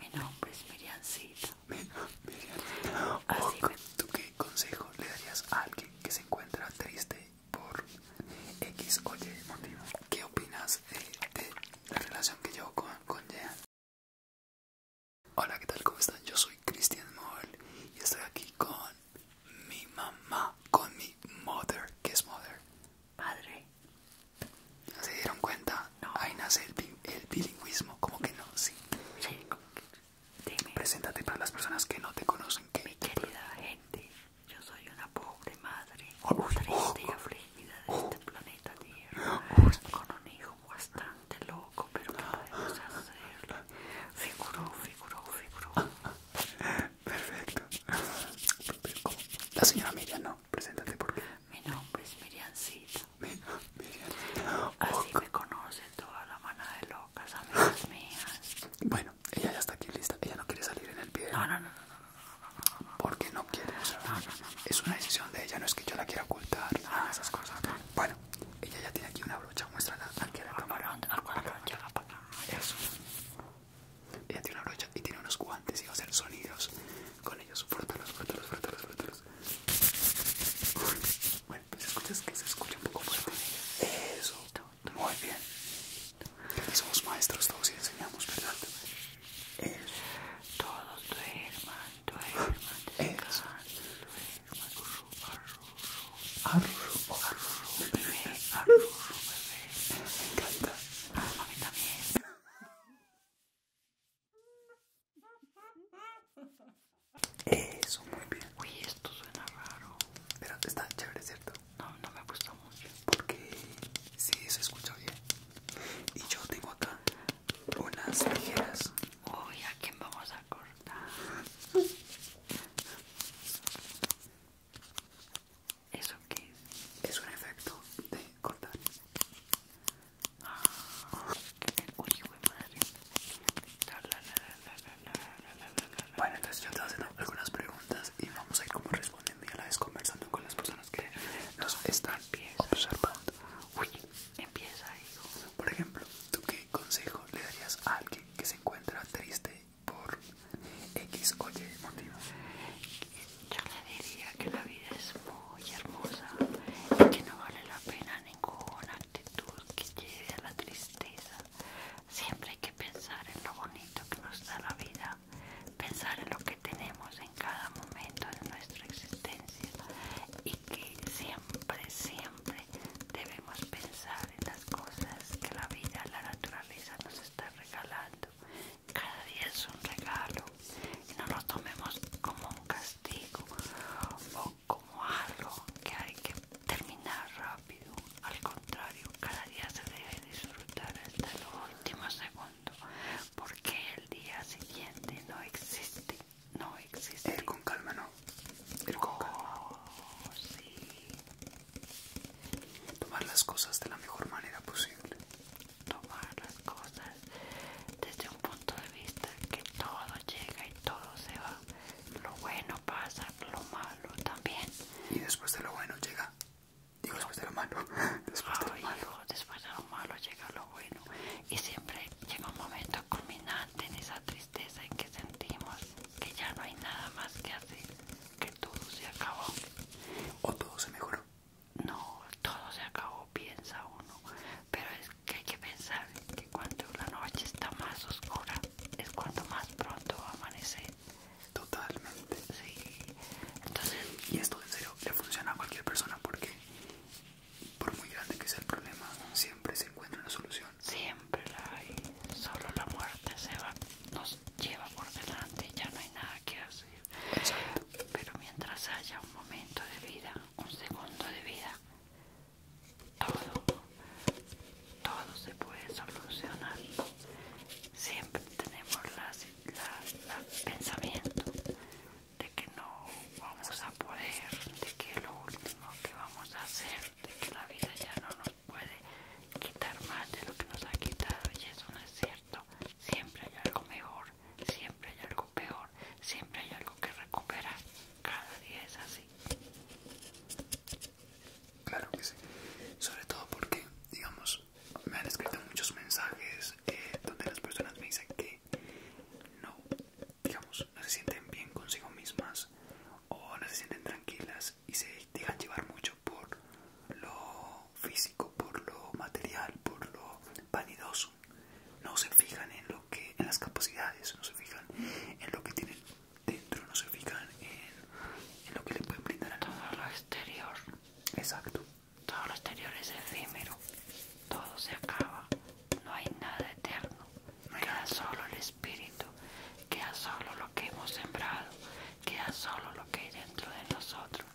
Mi nombre es Miriancito Así oh, ¿Tú qué consejo le darías a alguien que se encuentra triste por X o Y motivo? ¿Qué opinas eh, de, la relación que llevo con, con Hola, ¿qué tal? ¿Cómo están? Yo soy Christian Moll y estoy aquí con mi mamá, con mi mother. ¿Qué es mother? Padre. ¿Se dieron cuenta? No. Ahí nace el, bilingüismo, como que no, sí. sí. Dime. Preséntate para las personas que no te conocen. Mi querida gente, yo soy una pobre madre, oh, triste y oh, oh, afligida de oh. este planeta Tierra, con un hijo bastante loco, pero no ah. podemos hacerle? Figuró, figuró, figuró. Perfecto. La señora Miriam, no, preséntate porque... Mi nombre es Miriancita. Miriancita. Así me conoce toda la mano de locas, amigas mías. Bueno, ella ya está aquí lista. Ella no quiere salir en el video. No, no, no. ¿Por qué no Porque quiere. es una decisión de ella, no es que yo la quiera ocultar. de esas cosas. Bueno, ella ya tiene aquí una brocha. Muéstrala aquí a la cámara. Eso. Ella tiene una brocha y tiene unos guantes y va a hacer sonidos con ellos. Frótalos, frótalos, Bueno, pues escuchas que se escucha un poco ellos Eso, muy bien. somos maestros, todos y enseñamos, ¿verdad? Eso. Todos duerman, tu arru, arru, arru, arru, ah, también. Eso, muy bien. Uy, esto suena raro. Pero está chévere, ¿cierto? No, no me gusta mucho. Porque sí, se escucha bien. Y yo tengo acá unas tijeras. Uy, ¿a quién vamos a cortar? eso que es un efecto de cortar bueno entonces yo te haciendo algunas preguntas y vamos a ir como respondiendo y a la vez conversando con las personas que nos están observando uy empieza hijo por ejemplo tú qué consejo le darías a alguien que se encuentra triste por X oye motivo yo le diría que la vida es muy hermosa y que no vale la pena ninguna actitud que lleve a la tristeza. Siempre hay que pensar en lo bonito que nos da la vida, pensar en lo que tenemos en cada momento de nuestra existencia y que siempre, siempre debemos pensar en las cosas que la vida, la naturaleza nos está regalando cada día es un regalo y no lo tomemos como un castigo o como algo que hay que terminar rápido. Al contrario, cada día se debe disfrutar hasta el último segundo porque el día siguiente no existe. No existe. con calma no. El con oh, Sí. Tomar las cosas de la mejor manera posible. Tomar las cosas desde un punto de vista que todo llega y todo se va. Lo bueno pasa, lo malo también. Y después de lo bueno llega. Digo, después de lo malo. Después de lo malo. Después de lo malo llega lo bueno. Y siempre llega un momento culminante en esa tristeza en que sentimos que ya no hay nada más que hacer que todo se acabó. ¿O todo se mejoró? No, todo se acabó, piensa uno. Pero es que hay que pensar que cuando la noche está más oscura es cuando más pronto amanece Totalmente. Sí. Entonces, y esto en serio le funciona a cualquier persona porque por muy grande que sea el problema, siempre se encuentra una solución. Siempre la hay. Solo la muerte se va nos lleva por delante, ya no hay nada que hacer. Pero mientras haya un momento de vida, un segundo de vida, todo, todo se puede solucionar. Siempre tenemos las, pensamiento de que no vamos a poder, de que lo último que vamos a hacer, de que la vida ya no nos puede quitar más de lo que nos ha quitado y eso no es cierto. Siempre hay algo mejor, siempre hay algo peor, siempre hay algo que recuperar. Cada día es así. Claro que sí. Sobre todo porque, digamos, me han escrito muchos mensajes eh, donde las personas me dicen que no, digamos, no se sienten bien consigo mismas o no se sienten tranquilas y se dejan llevar mucho por lo físico, por lo material, por lo vanidoso. No se fijan en lo que, las capacidades, no se fijan en lo que tienen dentro, no se fijan en, lo que le pueden brindar a todo lo exterior. Exacto. Todo lo exterior es efímero. Todo se acaba. No hay nada eterno. solo el espíritu queda solo lo que hemos sembrado, queda solo lo que hay dentro de nosotros.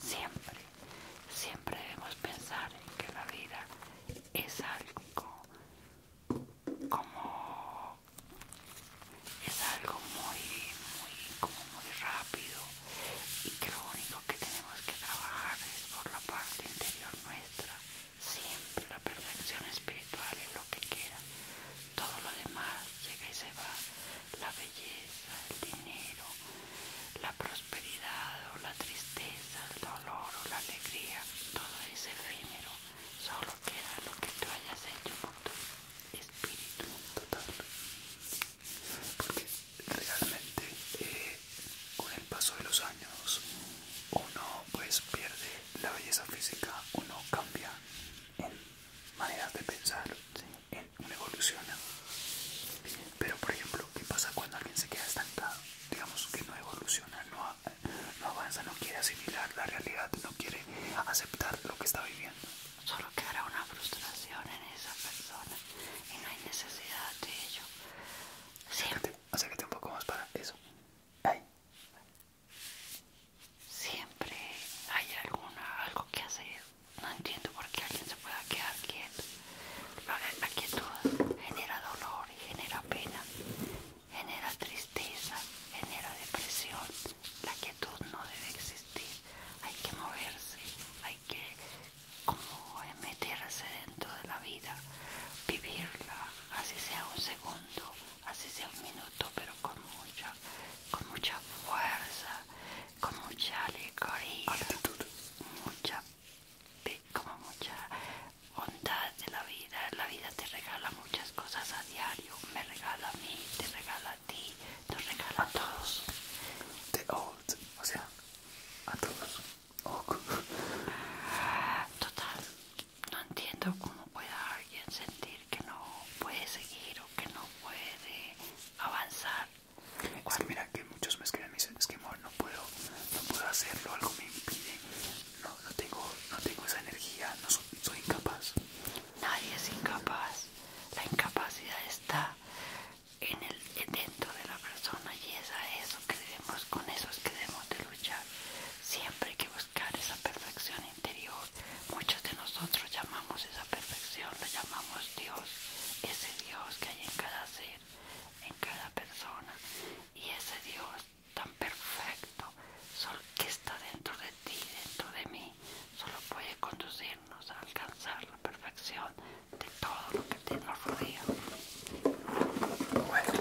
Siempre, siempre debemos pensar en que la vida es algo como es algo muy, muy, muy rápido y que lo único que tenemos que trabajar es por la parte interior nuestra. Siempre la perfección espiritual es lo que queda todo lo demás llega y se va, la belleza, el dinero, la prosperidad o la tristeza, el dolor o la alegría, todo es efímero, solo queda lo que tú hayas hecho por tu espíritu total. Porque realmente eh, con el paso de los años uno pues pierde la belleza física, uno cambia en maneras de pensar, en una evolución. Pero, por ejemplo, ¿qué pasa cuando alguien se queda estancado? Digamos que no evoluciona, no, avanza, no quiere asimilar la realidad, no quiere aceptar lo que está viviendo. Solo queda una frustración en esa persona y no hay necesidad de ello. que te un poco más para eso. Ahí. Siempre hay alguna, algo que hacer. No entiendo por qué alguien se pueda quedar quieto. La quietud genera dolor y genera pena, genera tristeza, genera depresión. La quietud no debe existir. Hay que moverse, hay que como meterse dentro de la vida, vivirla, así sea un segundo así sea un minuto, pero con mucha, con mucha fuerza, con mucha alegría, mucha, como mucha bondad de la vida. La vida te regala muchas cosas a diario, me regala a mí, te regala a ti, te regala a, todos. The old, o sea, a todos. Total, no entiendo cómo pueda alguien sentir que no puede seguir o que no puede avanzar. mira que muchos me escriben, y dicen, es que amor, no puedo, no puedo hacerlo, algo me impide, no, tengo, no tengo esa energía, no soy, incapaz. Nadie es incapaz, la incapacidad está en el dentro de la persona y esa eso creemos con eso que debemos de luchar. Siempre hay que buscar esa perfección interior. Muchos de nosotros llamamos esa perfección, la llamamos Dios, ese Dios que hay en cada ser, en cada persona. Y ese Dios tan perfecto solo que está dentro de ti, dentro de mí, solo puede conducirnos a alcanzar la perfección de todo lo que te nos Bueno,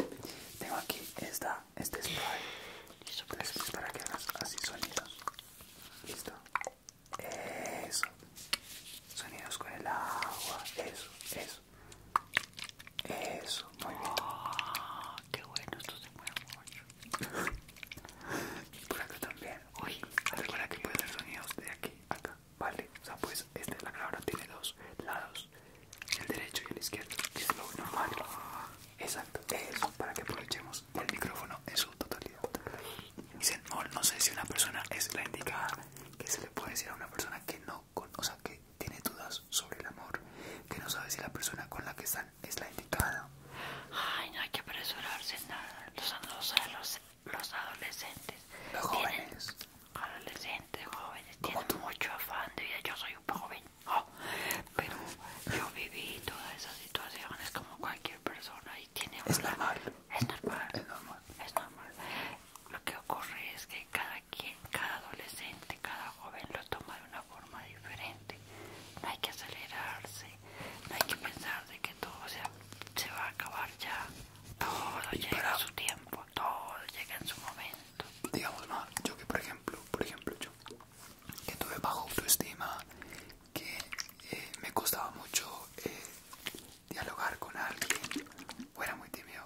tengo aquí esta este es para, pues. este para que hagas así sonidos. Listo. Eso. Sonidos con el agua. Eso, eso. Eso, muy bien. Ah, qué bueno, esto se mueve mucho. por acá también. Uy, recuerda que pueden hacer sonidos de aquí a acá. Vale, o sea, pues este, la grabadora tiene dos lados el derecho y el izquierdo, es lo normal. Exacto, para que aprovechemos el micrófono en su totalidad. Dicen, no, oh, no sé si una persona es la indicada, que se le puede decir a una persona que no, conoce que tiene dudas sobre el amor, que no sabe si la persona con la que están es la indicada. Ay, no hay que apresurarse nada. Los, adolescentes. Los jóvenes adolescentes, jóvenes, tienen mucho afán de vida. Yo soy un joven, oh, pero yo viví todas esas situaciones como cualquier persona y tiene un Es normal. Es normal. Es normal. Lo que ocurre es que cada quien, cada adolescente, cada joven lo toma de una forma diferente. No hay que acelerarse, no hay que pensar de que todo se, va a acabar ya. Todo llega en a su tiempo, todo llega en su momento digamos yo que por ejemplo por ejemplo yo que tuve bajo autoestima que eh, me costaba mucho eh, dialogar con alguien o era muy tímido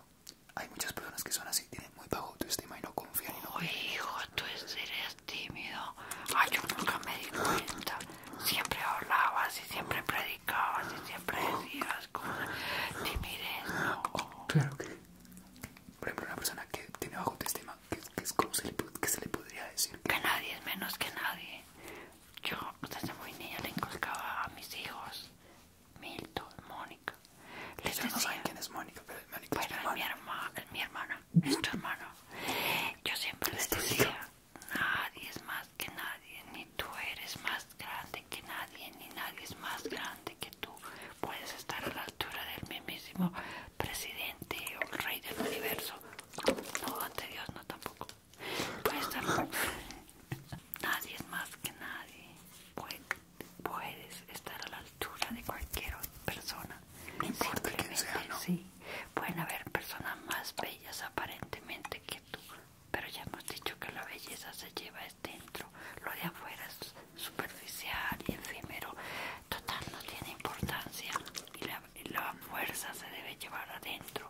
hay muchas personas que son así tienen muy bajo autoestima y no confían Oye hijo tú eres tímido ay yo nunca me di cuenta siempre hablabas y siempre predicabas y siempre decías con timidez claro que. Por ejemplo, una persona que tiene bajo autoestima, ¿qué, estima qué se le, se le podría decir? Que nadie es menos que nadie. Yo desde muy niña le inculcaba a mis hijos, Milton, Mónica. Les no saben quién es Mónica, pero es, mi, mi hermana. Es mi hermana, es tu hermana. Yo siempre les decía, nadie es más que nadie, ni tú eres más grande que nadie, ni nadie es más grande que tú. Puedes estar a la altura del mismísimo presidente o rey del universo. No, ante Dios no tampoco. Puedes estar... nadie es más que nadie. Puedes estar a la altura de cualquier persona. No importa sea, Sí. Pueden haber personas más bellas aparentemente que tú, pero ya hemos dicho que la belleza se lleva es dentro, lo de afuera es superficial y efímero, total no tiene importancia y la, fuerza se debe llevar adentro.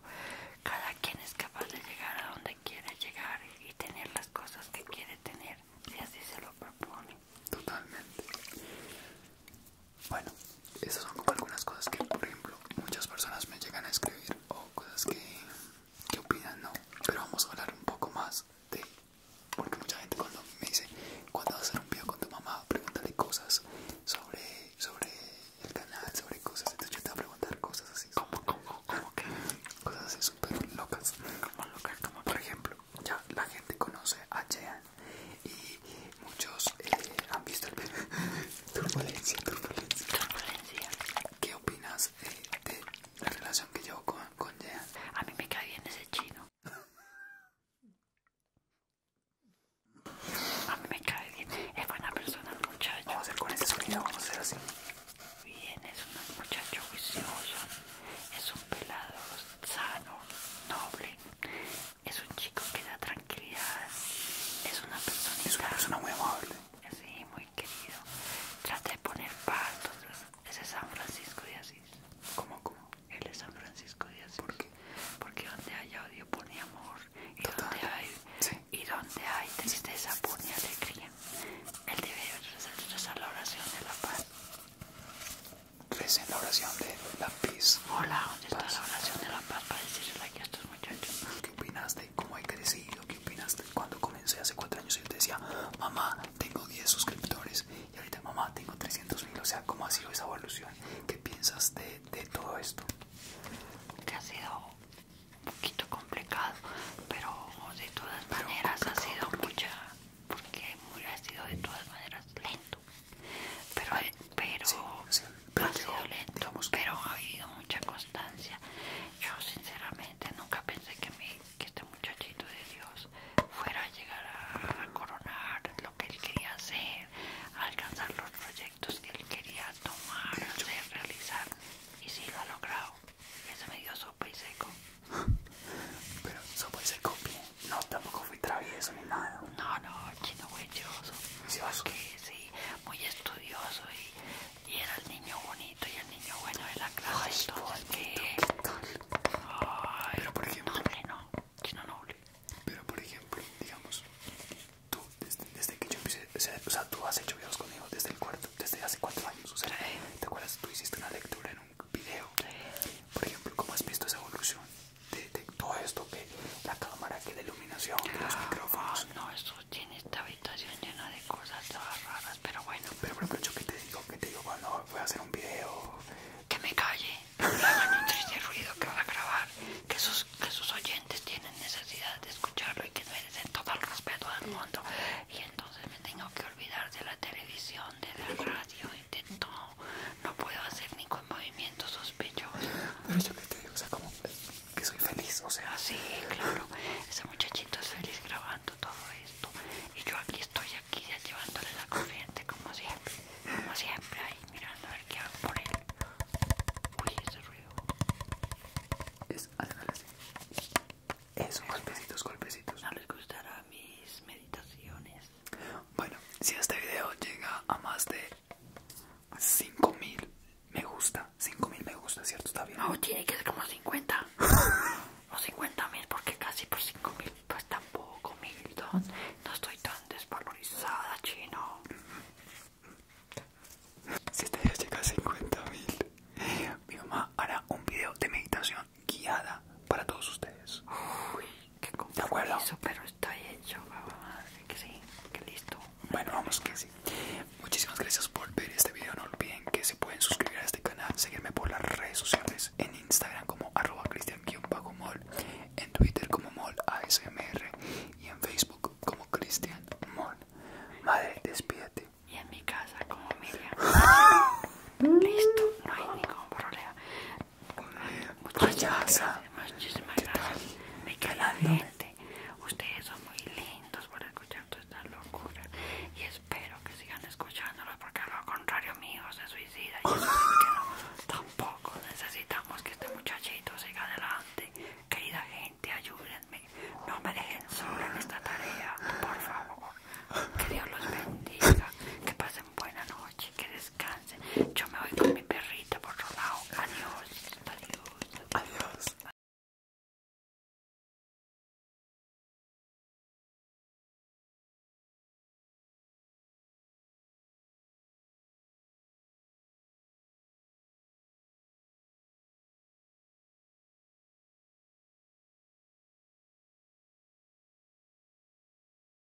Cada quien es capaz de llegar a donde quiera llegar y tener las cosas que quiere tener, si así se lo propone. Totalmente. Bueno, esas son como algunas cosas que, por ejemplo, muchas personas me llegan a escribir o cosas que qué opinan, ¿no? Pero vamos a hablar un poco más de... Porque mucha gente cuando me dice, cuando vas a hacer un video con tu mamá, pregúntale cosas sobre, sobre el canal, sobre cosas. Entonces yo te voy a preguntar cosas así. Como, como, como Cosas así súper locas. Como locas, como por ejemplo, ya la gente conoce a Jean y muchos eh, han visto el video. turbulencia, turbulencia, turbulencia. ¿Qué opinas eh, de la relación que llevo con, con A mí me cae bien ese chino. A mí me cae bien. Es buena persona el muchacho. Vamos a hacer con ese sonido, vamos a hacer así. Bien, es un muchacho juicioso. Es un pelado sano, noble. Es un chico que da atrae es una persona. Es muy amable. Sí, muy querido. Trata de poner paz. ese es San Francisco de Asís. ¿Cómo, cómo? Él es San Francisco de Asís. ¿Por qué? Porque donde hay odio pone amor. Y donde hay y donde hay tristeza pone alegría. Él debe rezar la oración de la paz. Recen la oración de la paz. Hola, ¿dónde está la oración de la paz para decirle aquí a estos muchachos? ¿Qué opinas cómo he crecido. ¿Qué opinas? Cuando comencé hace cuatro años yo te decía, mamá, tengo 10 suscriptores y ahorita mamá, tengo 300 mil. O sea, ¿cómo ha sido esa evolución? ¿Qué piensas de, todo esto? Que ha sido un poquito complicado, pero de todas maneras ha sido mucha, porque ha sido de todas maneras lento. Pero, pero pero ha sido lento, pero ha habido mucha constancia. Yo sinceramente nunca pensé que, este muchachito de Dios fuera a llegar a, coronar lo que él quería hacer, alcanzar los proyectos que él quería tomar, hacer, realizar, y sí lo ha logrado. eso me dio sopa y seco. Pero sopa y seco bien. No, tampoco fui travieso ni nada. No, no, chino huechoso. Que sí, muy estudioso y, era el niño bonito y el niño bueno de la clase. Pero por ejemplo, no, chino Pero por ejemplo, digamos, tú, desde, desde que yo empecé, o sea, tú has hecho videos conmigo desde el cuarto, desde hace cuatro años, o sea, ¿te acuerdas? Tú hiciste una lectura en un video. Por ejemplo, ¿cómo has visto esa evolución? detectó esto que la cámara que la iluminación que los ah, micrófonos no eso tiene esta habitación llena de cosas raras pero bueno pero pero, ¿yo que te digo que te digo cuando voy a hacer un video que me calle que hagan un de ruido que a grabar que sus que oyentes tienen necesidad de escucharlo y que merecen todo el respeto del mundo y entonces me tengo que olvidar de la televisión de la radio y de todo no puedo hacer ningún movimiento sospechoso. que te digo, o sea, como que soy feliz, o sea. Sí, claro, ese muchachito es feliz grabando todo esto. Y yo aquí estoy, aquí ya llevándole la corriente, como siempre. Como siempre, ahí mirando a ver qué hago por él. Uy, ese ruido. Es, así. Eso, golpecitos, golpecitos. No les gustará mis meditaciones. Bueno, si este video llega a más de 5000 me gusta, 5000 me gusta, ¿cierto? Está bien. No, tiene que ser como 50 o 50.000 porque casi por 5000, pues tampoco, Milton. No estoy tan desvalorizada, chino. Si este día llega a 50.000, mi mamá hará un video de meditación guiada para todos ustedes. Uy. Qué eso pero está hecho, que sí, que listo. Bueno, vamos que sí. Muchísimas gracias por ver este video. No olviden que se pueden suscribir a este canal, seguirme por las redes sociales, en Instagram como arroba cristian-mol, en Twitter como mol y en Facebook como Cristian Madre, despídete. Y en mi casa como Miriam. listo, no hay ningún problema. Muchachos, Muchísimas gracias. Me Ustedes son muy lindos por escuchar todas esta locura. Y espero que sigan escuchándolos porque a lo contrario hijo se suicida. Y no, tampoco necesitamos que este muchachito siga adelante. Querida gente, ayúdenme. No me dejen solo en esta tarea, por favor. Que Dios los bendiga. Que pasen Buenas noches, noche, que descansen. Yo me voy con mi perrito por otro lado. adiós, adiós.